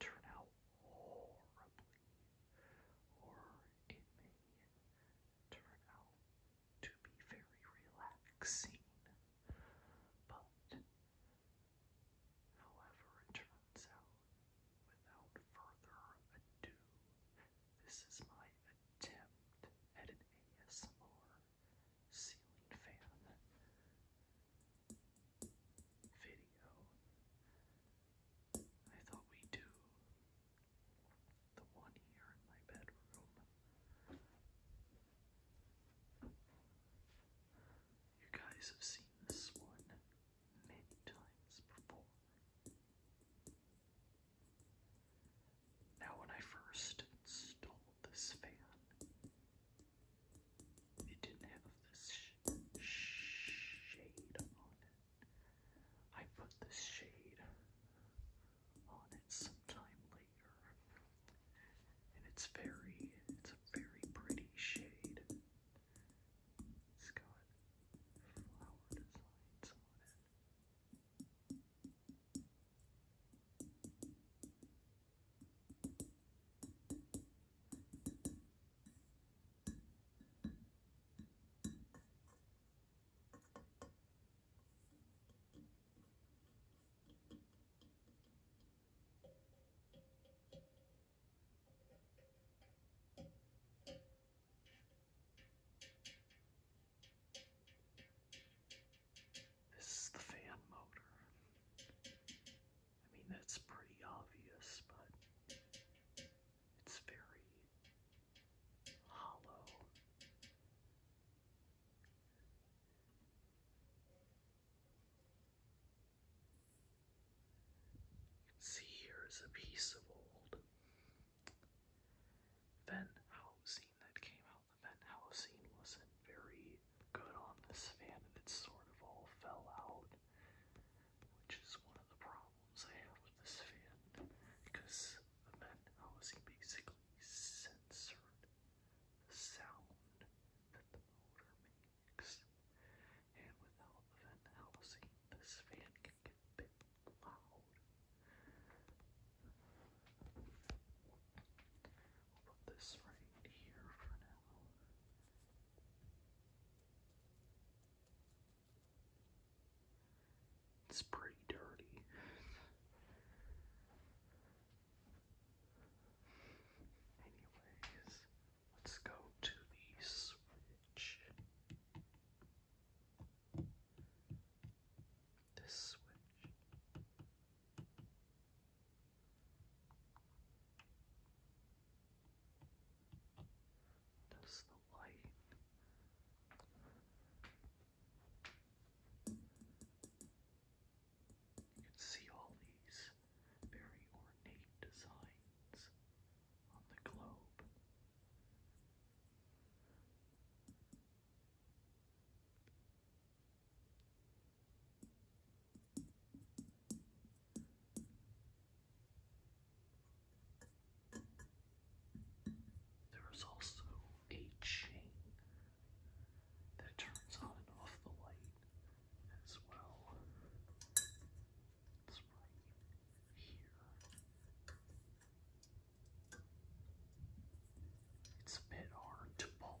turn out horribly, or it may turn out to be very relaxing. But, however, it turns out, without further ado, this is my attempt at an ASMR ceiling fan video. I thought we do the one here in my bedroom. You guys have seen this one many times before. Now, when I first installed this fan, it didn't have this shade on it. I put this shade on it sometime later. And it's very, it's a very pretty shade. It's got flower designs on it. This is the fan motor. I mean, that's pretty obvious, but it's very hollow. see here is a piece of old Van housing that came out. The Van housing wasn't very good on this fan and it sort of all fell out, which is one of the problems I have with this fan because then I basically censored the sound that the motor makes. And without the housing, this fan can get a bit loud. I'll put this right here for now. It's pretty dirty. Anyways, let's go to the switch. This switch. Notice the light. You can see all these very ornate designs on the globe. There is also a chain that turns on and off the light as well. It's right here. It's a bit hard to pull.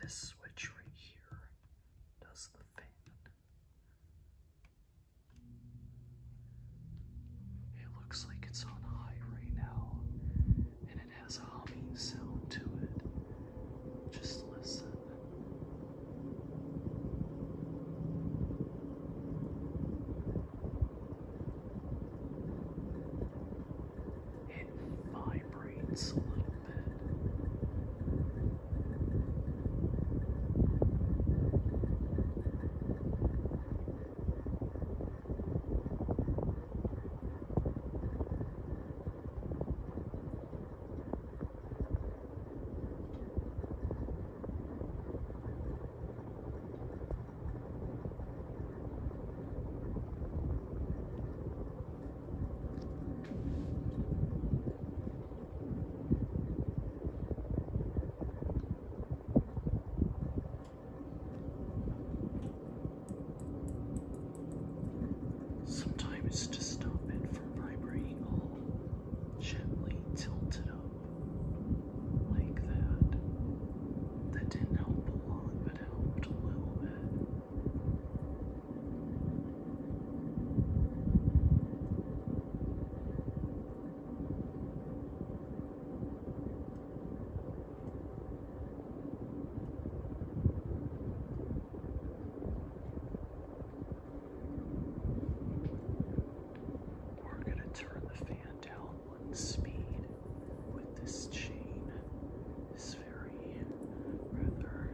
This switch right here does the fan. It looks like it's on high right now, and it has a humming sound to it. Just listen it vibrates a little bit. Sometimes to stop it from vibrating all gently tilted up like that. That didn't help a lot, but helped a little bit. We're going to turn the fan down one speed with this chain is very rather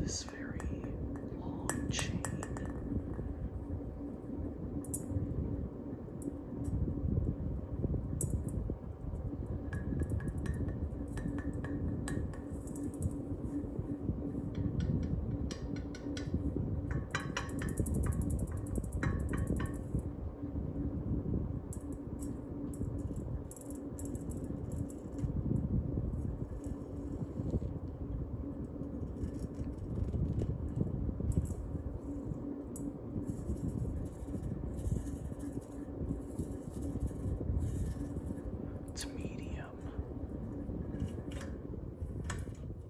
this very long chain. It's medium.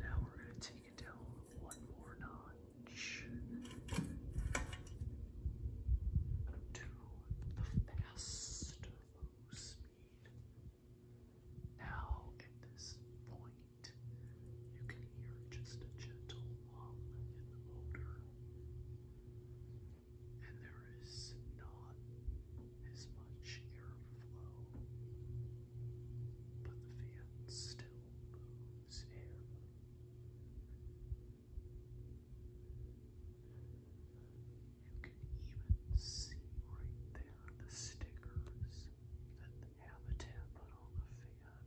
Now we're going to take it down one more notch to the fast low speed. Now, at this point, you can hear just a gentle hum in motor, and there is not as much airflow, but the fan still moves air. You can even see right there the stickers that Habitat put on the fan.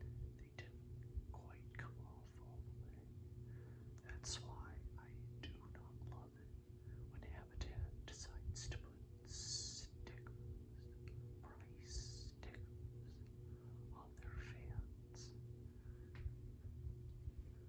They didn't quite come off all the way. That's why I do not love it when Habitat decides to put stickers, price stickers, on their fans.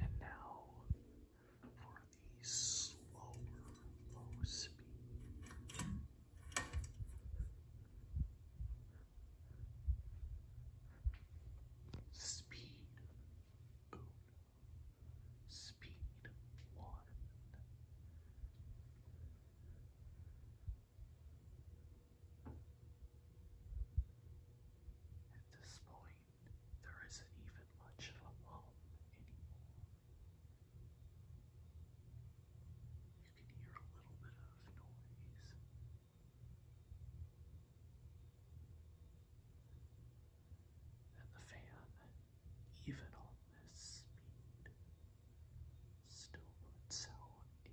And now for the slower low speed. Speed boom. Speed one. At this point, there isn't even much of a home anymore. You can hear a little bit of noise. And the fan, even on this speed, still puts out a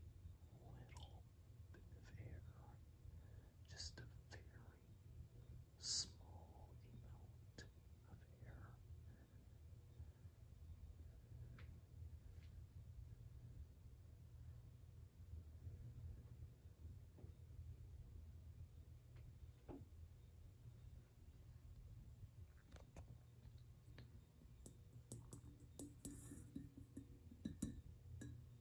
little bit of air, just a very small amount of air.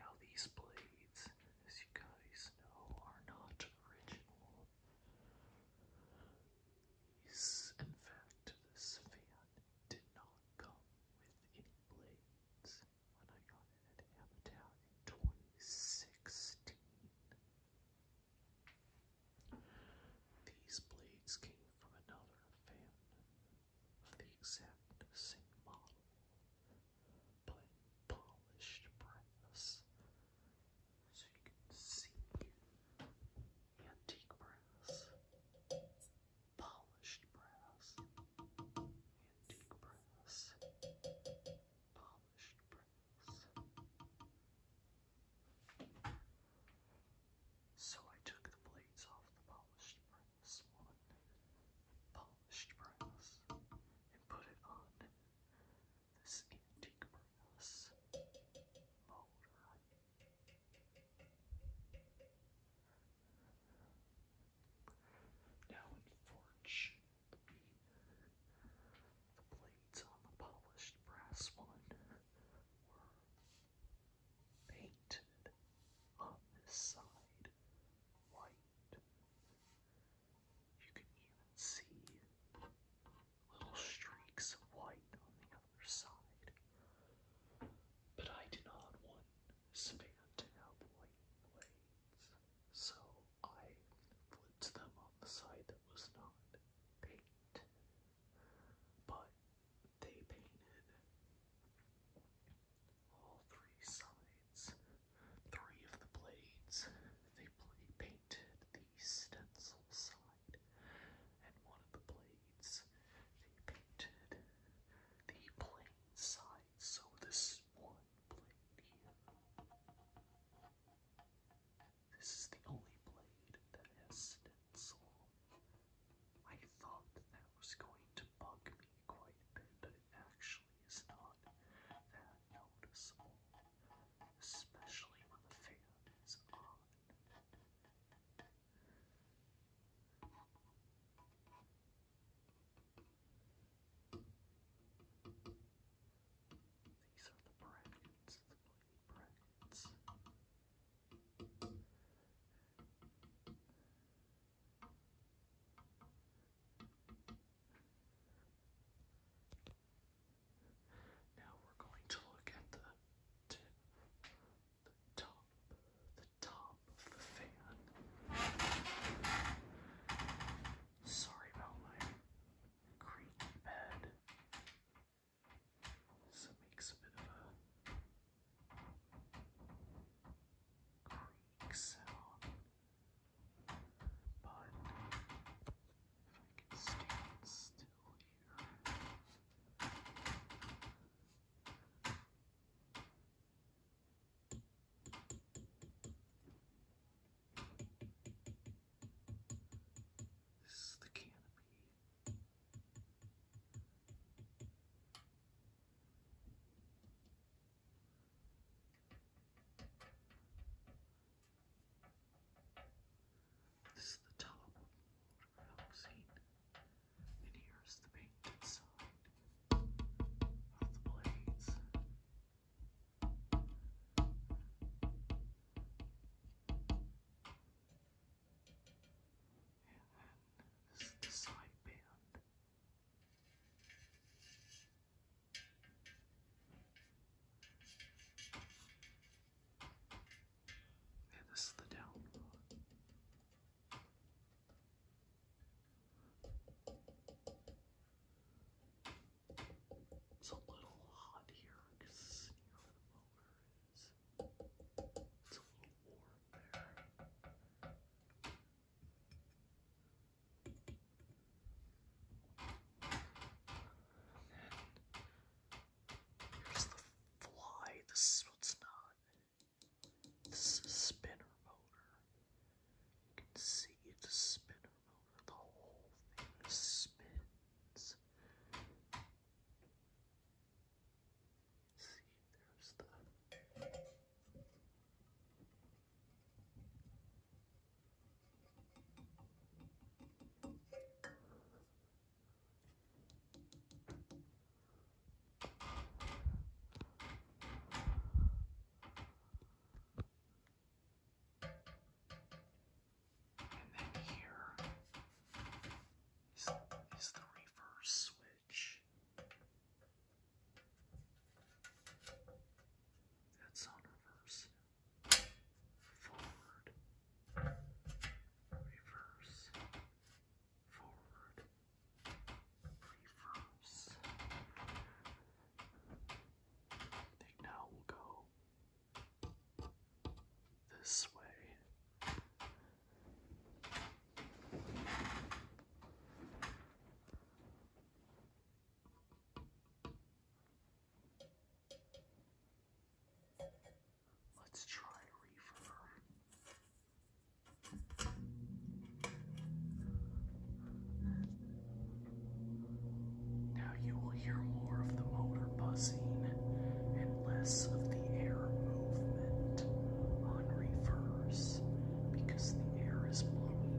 Now, these blades, as you guys know, are not original. These, in fact, this fan did not come with any blades when I got in at Apatow in 2016. These blades came from another fan of the exact same model, but polished brass. So you can see antique brass polished brass, antique brass, polished brass. So I took the blades off the polished brass one, polished brass, and put it on this antique brass motor. Now in the blades on the polished brass one were painted on this side white. You can even see little streaks of white on the other side. But I did not want span to have blades, so I flipped them on the side that was not paint, but they painted all three sides, three of the blades. They painted the stencil side, and one of the blades they painted the plain side. So this one blade here. This is the only blade that has stencil. I thought that was going to bug me quite a bit, but it actually is not that noticeable, especially when the fan is on. These are the brackets, Now we're going to look at the top the top of the fan. Sorry about my creaky bed. So makes a bit of a creak sound. But if I can stand still here. This is the canopy. This is the top of the water housing. And here's the paint inside off the this is the side And this is the down it's a little hot here because the sneer the motor is. It's a little warm there. And here's the fly. This is not this is a spinner motor. You can see it's a spinner motor. The whole thing spins. See, there's the and then here is, the reverse switch. That's on reverse. Forward. Reverse forward, reverse. I think now we'll go this way. Let's try reverb. Now you will hear more of the motor buzzing and less of the air movement on reverse because the air is blowing up.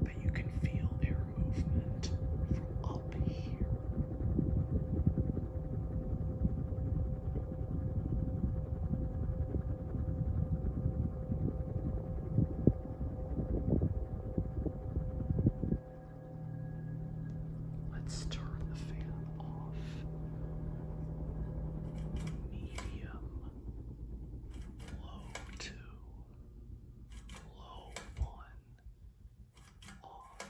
But you can feel their movement from up here. Let's turn the fan off. Medium. Low two. Low one. Off.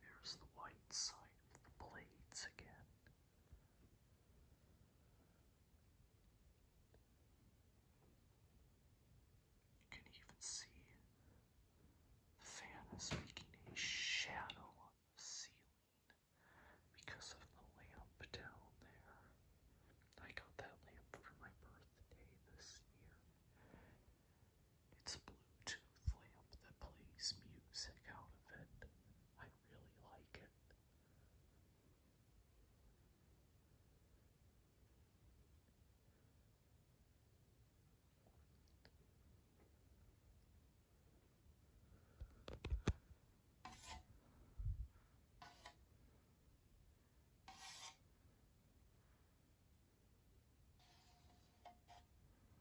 Here's the white side of the blades again. You can even see the fan is making a shadow on the ceiling because of the lamp down there. I got that lamp for my birthday this year. It's a Bluetooth lamp that plays music out of it. I really like it.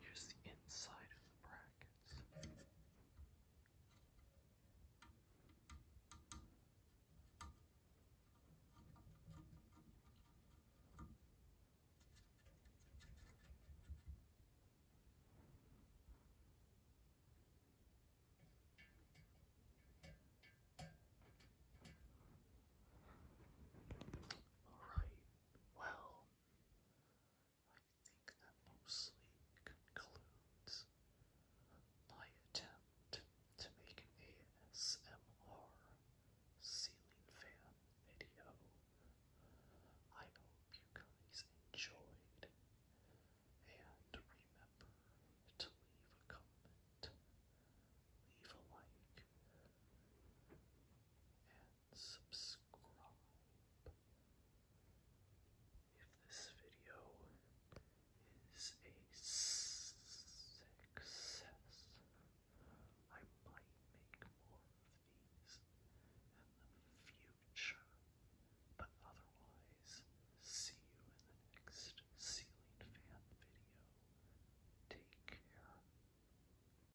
Here's the inside of the brackets. All right, well, I think that mostly concludes my attempt to make an ASMR ceiling fan video. I hope you guys enjoyed, and remember to leave a comment, leave a like, and subscribe. If this video is a success, I might make more of these in the future. But otherwise, see you in the next ceiling fan video. Take care.